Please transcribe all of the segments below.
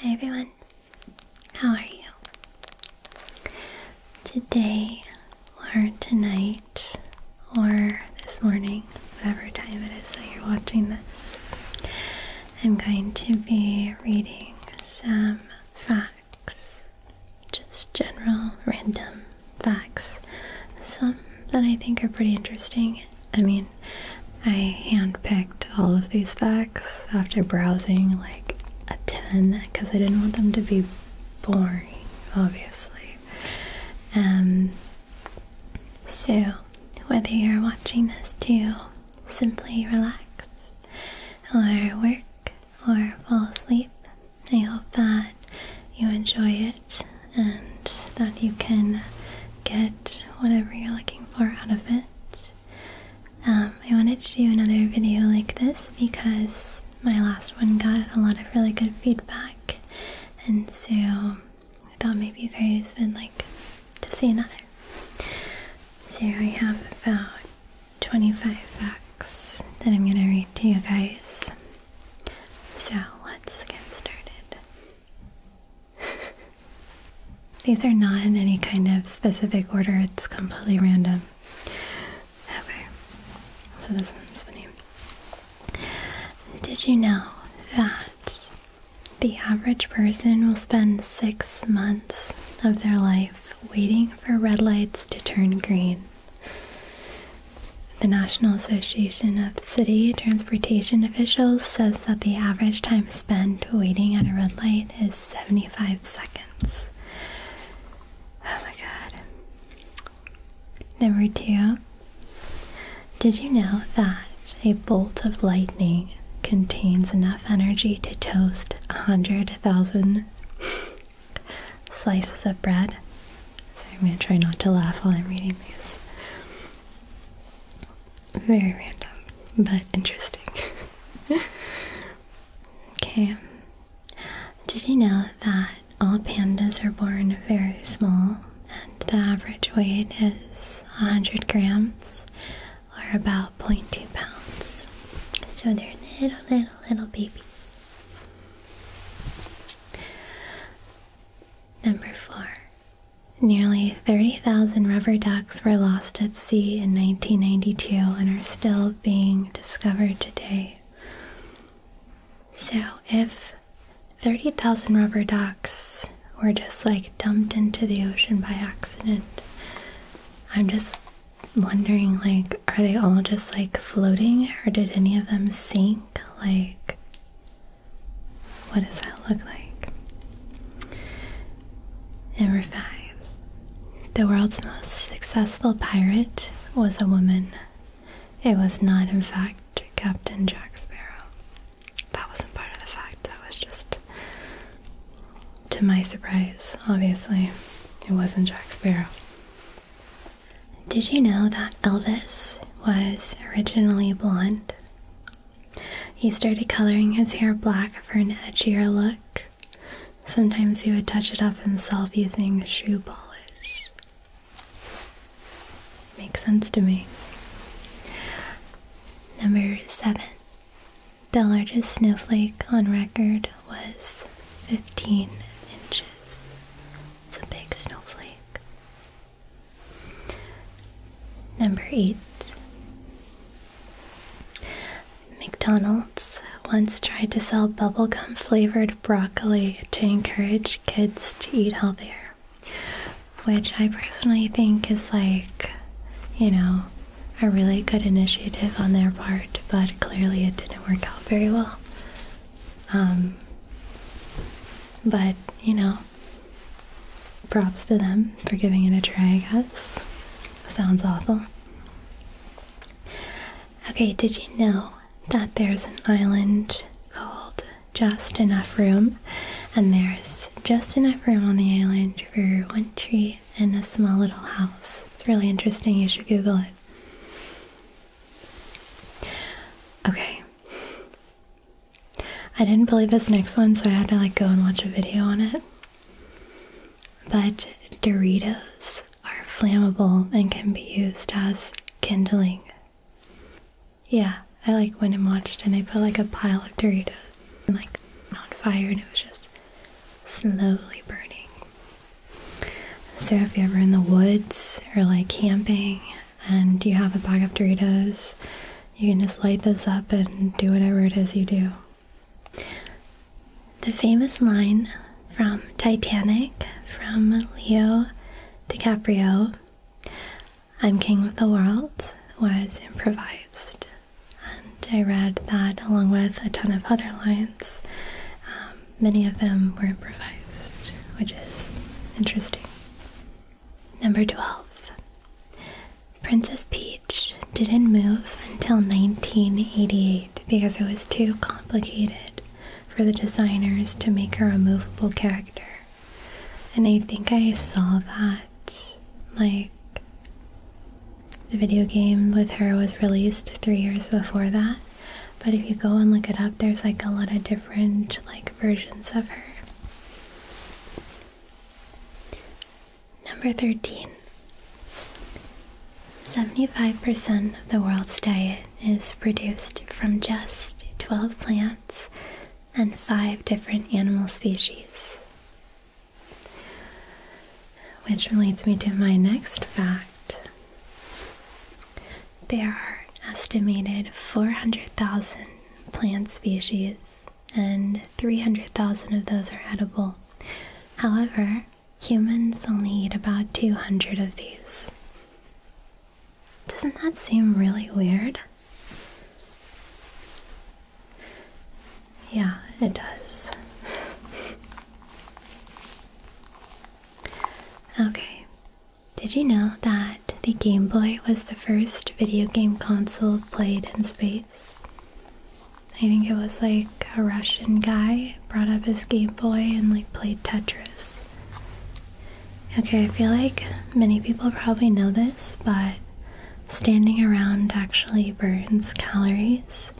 Hi everyone, how are you? Today, or tonight, or this morning, whatever time it is that you're watching this, I'm going to be reading some facts, just general random facts, some that I think are pretty interesting I mean, I handpicked all of these facts after browsing like a 10 because I didn't want them to be boring, obviously. Um, so, whether you're watching this to simply relax, or work, or fall asleep, I hope that you enjoy it and that you can get whatever you're looking for out of it. Um, I wanted to do another video like this because my last one got a lot of really good feedback, and so I thought maybe you guys would like to see another. So I have about 25 facts that I'm going to read to you guys. So let's get started. These are not in any kind of specific order, it's completely random. Okay, so this one's funny. Did you know that the average person will spend six months of their life waiting for red lights to turn green? The National Association of City Transportation Officials says that the average time spent waiting at a red light is 75 seconds. Oh my god. Number two, did you know that a bolt of lightning contains enough energy to toast 100,000 slices of bread? So I'm going to try not to laugh while I'm reading these. Very random, but interesting. okay. Did you know that all pandas are born very small and the average weight is 100 grams or about 0.2 pounds? So they're little, little, little babies. Number four. Nearly 30,000 rubber ducks were lost at sea in 1992 and are still being discovered today. So, if 30,000 rubber ducks were just like dumped into the ocean by accident, I'm just wondering like, are they all just like floating or did any of them sink? Like, what does that look like? Number five. The world's most successful pirate was a woman. It was not, in fact, Captain Jack Sparrow. That wasn't part of the fact, that was just to my surprise, obviously. It wasn't Jack Sparrow. Did you know that Elvis was originally blonde? He started coloring his hair black for an edgier look. Sometimes he would touch it up himself using shoe polish. Makes sense to me. Number seven. The largest snowflake on record was 15 inches. It's a big snowflake. Number eight. McDonald's once tried to sell bubblegum flavored broccoli to encourage kids to eat healthier, which I personally think is like, you know, a really good initiative on their part, but clearly it didn't work out very well. Um, but, you know, Props to them for giving it a try, I guess. Sounds awful. Okay, did you know that there's an island called Just Enough Room? And there's just enough room on the island for one tree and a small little house. It's really interesting. You should Google it. Okay, I didn't believe this next one, so I had to like go and watch a video on it. But Doritos are flammable and can be used as kindling. Yeah, I like went and watched, and they put like a pile of Doritos and like on fire, and it was just slowly burning. So if you're ever in the woods or like camping and you have a bag of Doritos, you can just light those up and do whatever it is you do. The famous line from Titanic from Leo DiCaprio, I'm King of the World, was improvised. And I read that along with a ton of other lines. Um, many of them were improvised, which is interesting. Number 12. Princess Peach didn't move until 1988 because it was too complicated for the designers to make her a movable character. And I think I saw that, like, the video game with her was released three years before that. But if you go and look it up, there's like a lot of different, like, versions of her. Number 13. 75% of the world's diet is produced from just 12 plants and 5 different animal species. Which relates me to my next fact. There are estimated 400,000 plant species, and 300,000 of those are edible. However, humans only eat about 200 of these. Doesn't that seem really weird? Yeah, it does. okay, did you know that the Game Boy was the first video game console played in space. I think it was like a Russian guy brought up his Game Boy and like played Tetris. Okay, I feel like many people probably know this, but standing around actually burns calories,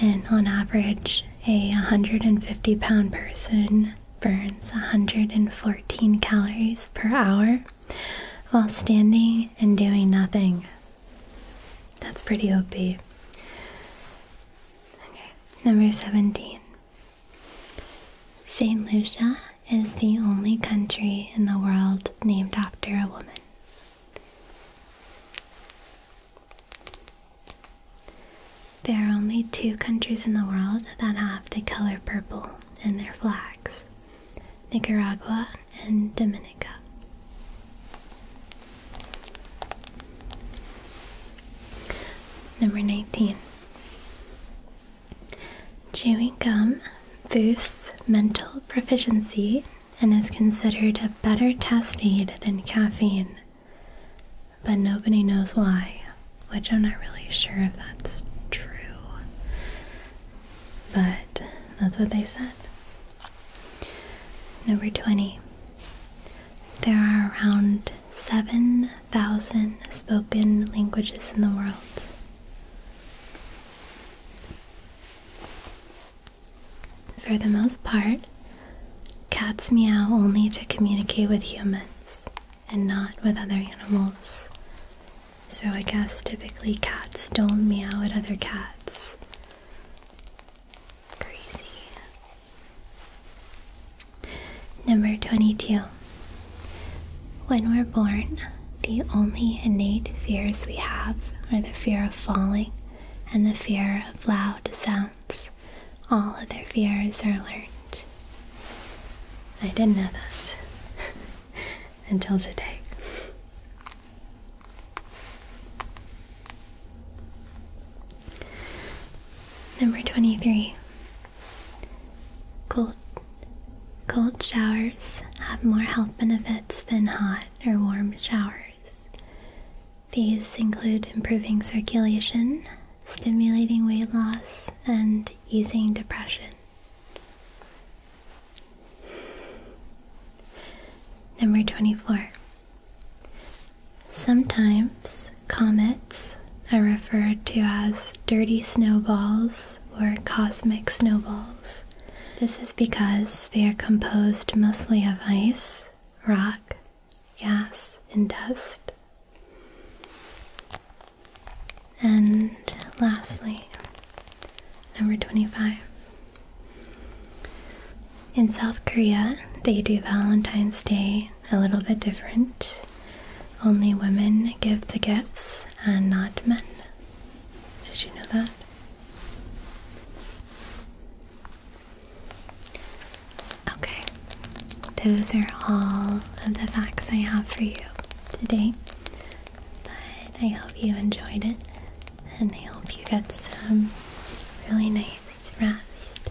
and on average, a 150 pound person burns 114 calories per hour while standing and doing nothing. That's pretty OP. Okay, number 17. St. Lucia is the only country in the world named after a woman. There are only two countries in the world that have the color purple in their flags. Nicaragua, and Dominica. Number 19. Chewing gum boosts mental proficiency and is considered a better test aid than caffeine, but nobody knows why which I'm not really sure if that's true, but that's what they said. Number 20. There are around 7,000 spoken languages in the world. For the most part, cats meow only to communicate with humans and not with other animals. So I guess typically cats don't meow at other cats. Crazy. Number 22. When we're born, the only innate fears we have are the fear of falling and the fear of loud sounds. All other fears are learned. I didn't know that. until today. Number 23. Cold, cold showers have more health benefits than hot or warm showers. These include improving circulation, stimulating weight loss, and easing depression. Number 24. Sometimes comets are referred to as dirty snowballs or cosmic snowballs. This is because they are composed mostly of ice, rock, gas, and dust. And lastly, number 25. In South Korea, they do Valentine's Day a little bit different. Only women give the gifts and not men. Did you know that? Okay, those are all of the facts I have for you today. But I hope you enjoyed it and I hope you get some really nice rest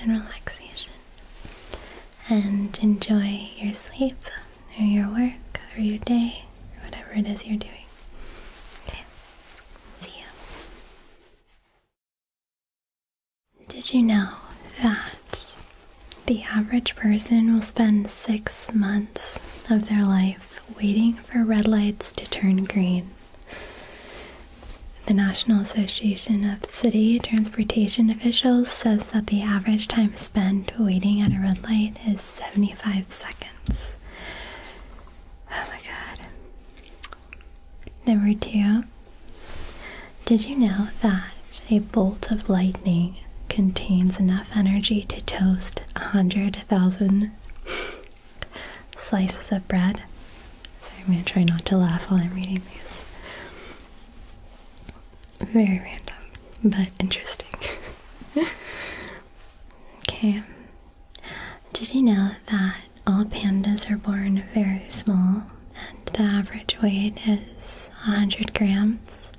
and relaxation and enjoy your sleep or your work or your day or whatever it is you're doing. Okay, see you. Did you know that the average person will spend six months of their life waiting for red lights to turn green. The National Association of City Transportation Officials says that the average time spent waiting at a red light is 75 seconds. Oh my god. Number two, did you know that a bolt of lightning contains enough energy to toast 100,000 slices of bread? So I'm going to try not to laugh while I'm reading these. Very random, but interesting. okay. Did you know that all pandas are born very small and the average weight is 100 grams?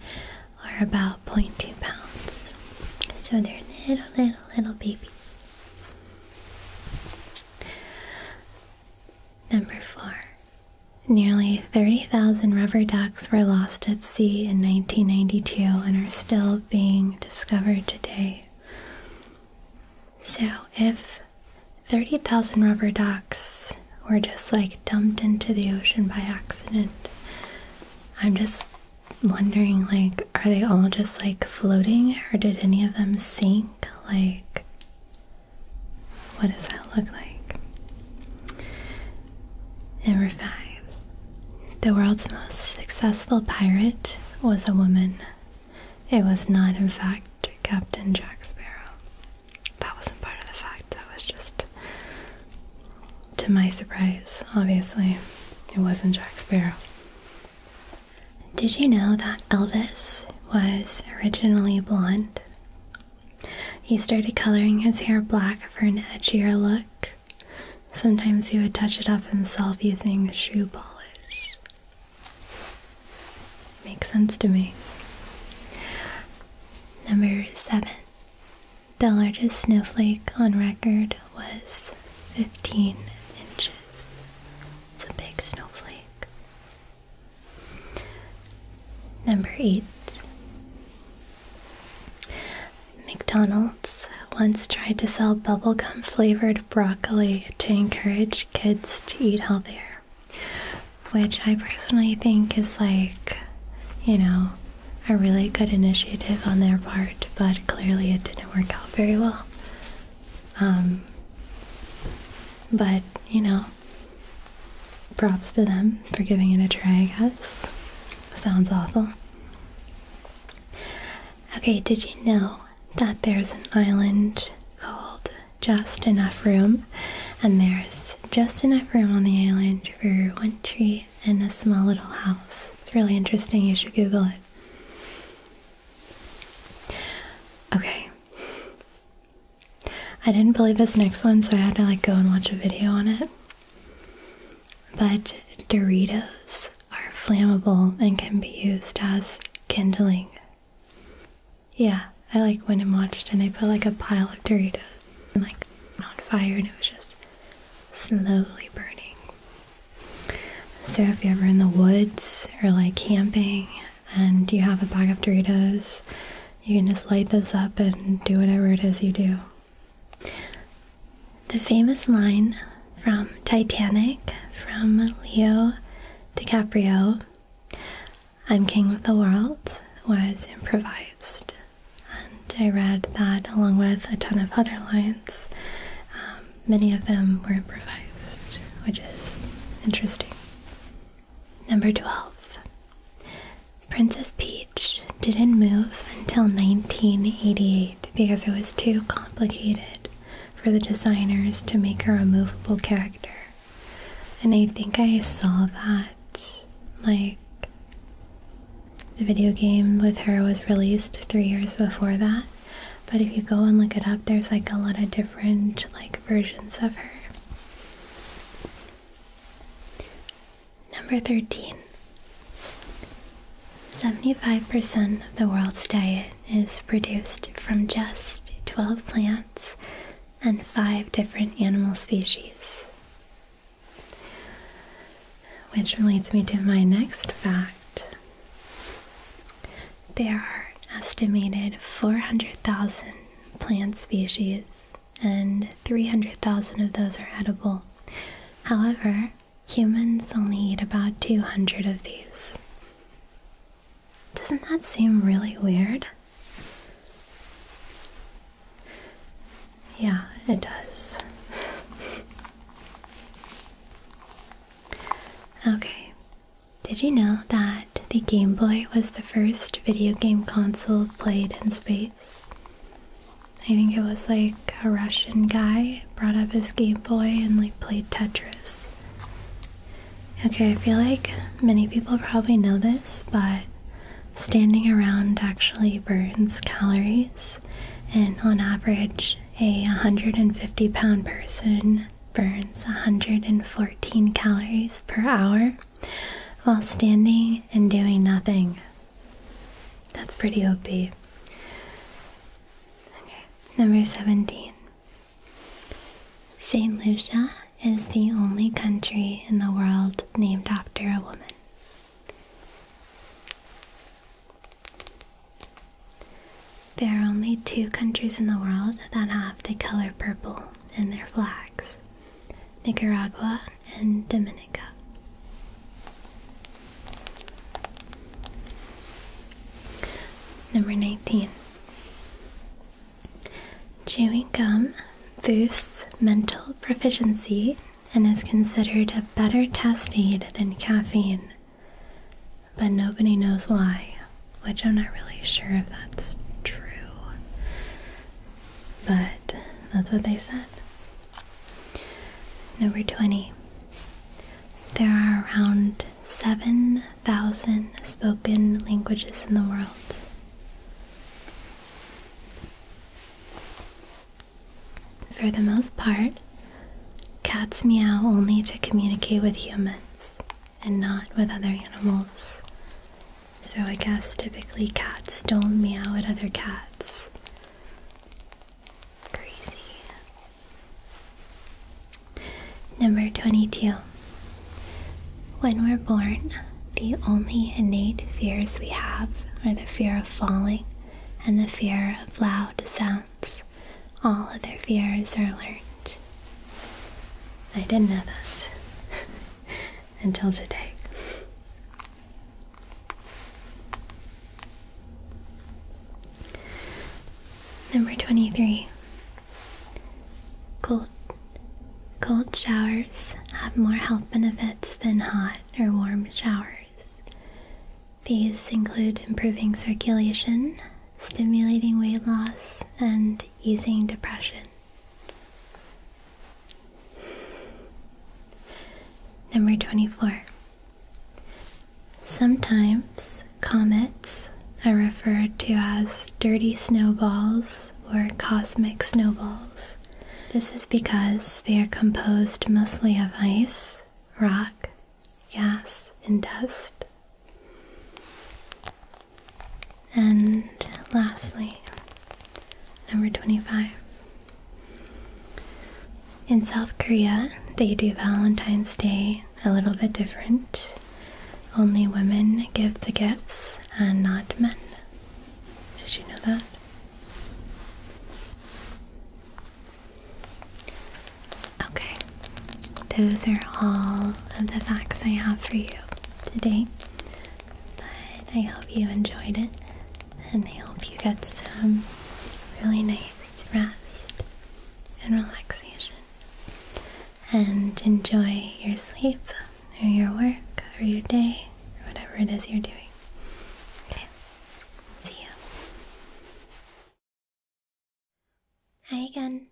are about 0.2 pounds. So they're little, little, little babies. Number four. Nearly 30,000 rubber ducks were lost at sea in 1992 and are still being discovered today. So, if 30,000 rubber ducks we're just like dumped into the ocean by accident. I'm just wondering like are they all just like floating or did any of them sink? Like what does that look like? Number five. The world's most successful pirate was a woman. It was not in fact Captain Jack Sparrow that wasn't part of the fact. That was just to my surprise, obviously. It wasn't Jack Sparrow. Did you know that Elvis was originally blonde? He started coloring his hair black for an edgier look. Sometimes he would touch it up himself using shoe polish. Makes sense to me. Number 7. The largest snowflake on record was 15 inches. It's a big snowflake. Number 8. McDonald's once tried to sell bubblegum flavored broccoli to encourage kids to eat healthier which I personally think is like, you know, a really good initiative on their part, but clearly it didn't work out very well. Um, but, you know, props to them for giving it a try, I guess. Sounds awful. Okay, did you know that there's an island called Just Enough Room and there's just enough room on the island for one tree and a small little house. It's really interesting, you should Google it. Okay. I didn't believe this next one, so I had to like go and watch a video on it. But Doritos are flammable and can be used as kindling. Yeah, I like went and watched, and they put like a pile of Doritos and like on fire, and it was just slowly burning. So if you're ever in the woods or like camping and you have a bag of Doritos, you can just light those up and do whatever it is you do. The famous line from Titanic from Leo DiCaprio I'm King of the World was improvised, and I read that along with a ton of other lines. Um, many of them were improvised, which is interesting. Number 12 Princess Peach didn't move until 1988 because it was too complicated for the designers to make a removable character. And I think I saw that, like, the video game with her was released three years before that. But if you go and look it up, there's like a lot of different, like, versions of her. Number 13 75% of the world's diet is produced from just 12 plants and five different animal species. Which leads me to my next fact. There are estimated 400,000 plant species, and 300,000 of those are edible. However, humans only eat about 200 of these. Doesn't that seem really weird? Yeah, it does. okay, did you know that the Game Boy was the first video game console played in space? I think it was like a Russian guy brought up his Game Boy and like played Tetris. Okay, I feel like many people probably know this, but standing around actually burns calories, and on average, a 150 pound person burns 114 calories per hour while standing and doing nothing. That's pretty OP. Okay, number 17. St. Lucia is the only country in the world named after a woman. There are only two countries in the world that have the color purple in their flags Nicaragua and Dominica. Number 19. Chewing gum boosts mental proficiency and is considered a better test aid than caffeine. But nobody knows why, which I'm not really sure if that's true. But that's what they said. Number 20. There are around 7,000 spoken languages in the world. For the most part, cats meow only to communicate with humans and not with other animals. So, I guess typically cats don't meow at other cats. Crazy. Number 22. When we're born, the only innate fears we have are the fear of falling and the fear of loud sounds. All other fears are learned. I didn't know that until today. Number 23. Go cold showers have more health benefits than hot or warm showers. These include improving circulation, stimulating weight loss, and easing depression. Number 24. Sometimes comets are referred to as dirty snowballs or cosmic snowballs. This is because they are composed mostly of ice, rock, gas, and dust. And lastly, number 25. In South Korea, they do Valentine's Day a little bit different. Only women give the gifts and not men. Did you know that? Okay, those are all of the facts I have for you today. But I hope you enjoyed it and I hope you get some really nice rest and relaxation and enjoy your sleep or your work or your day or whatever it is you're doing. Okay, see you. Hi again.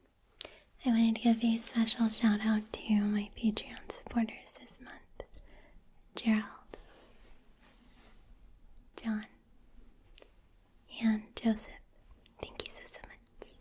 I wanted to give a special shout out to my Patreon supporters this month Gerald, John, and Joseph. Thank you so, so much.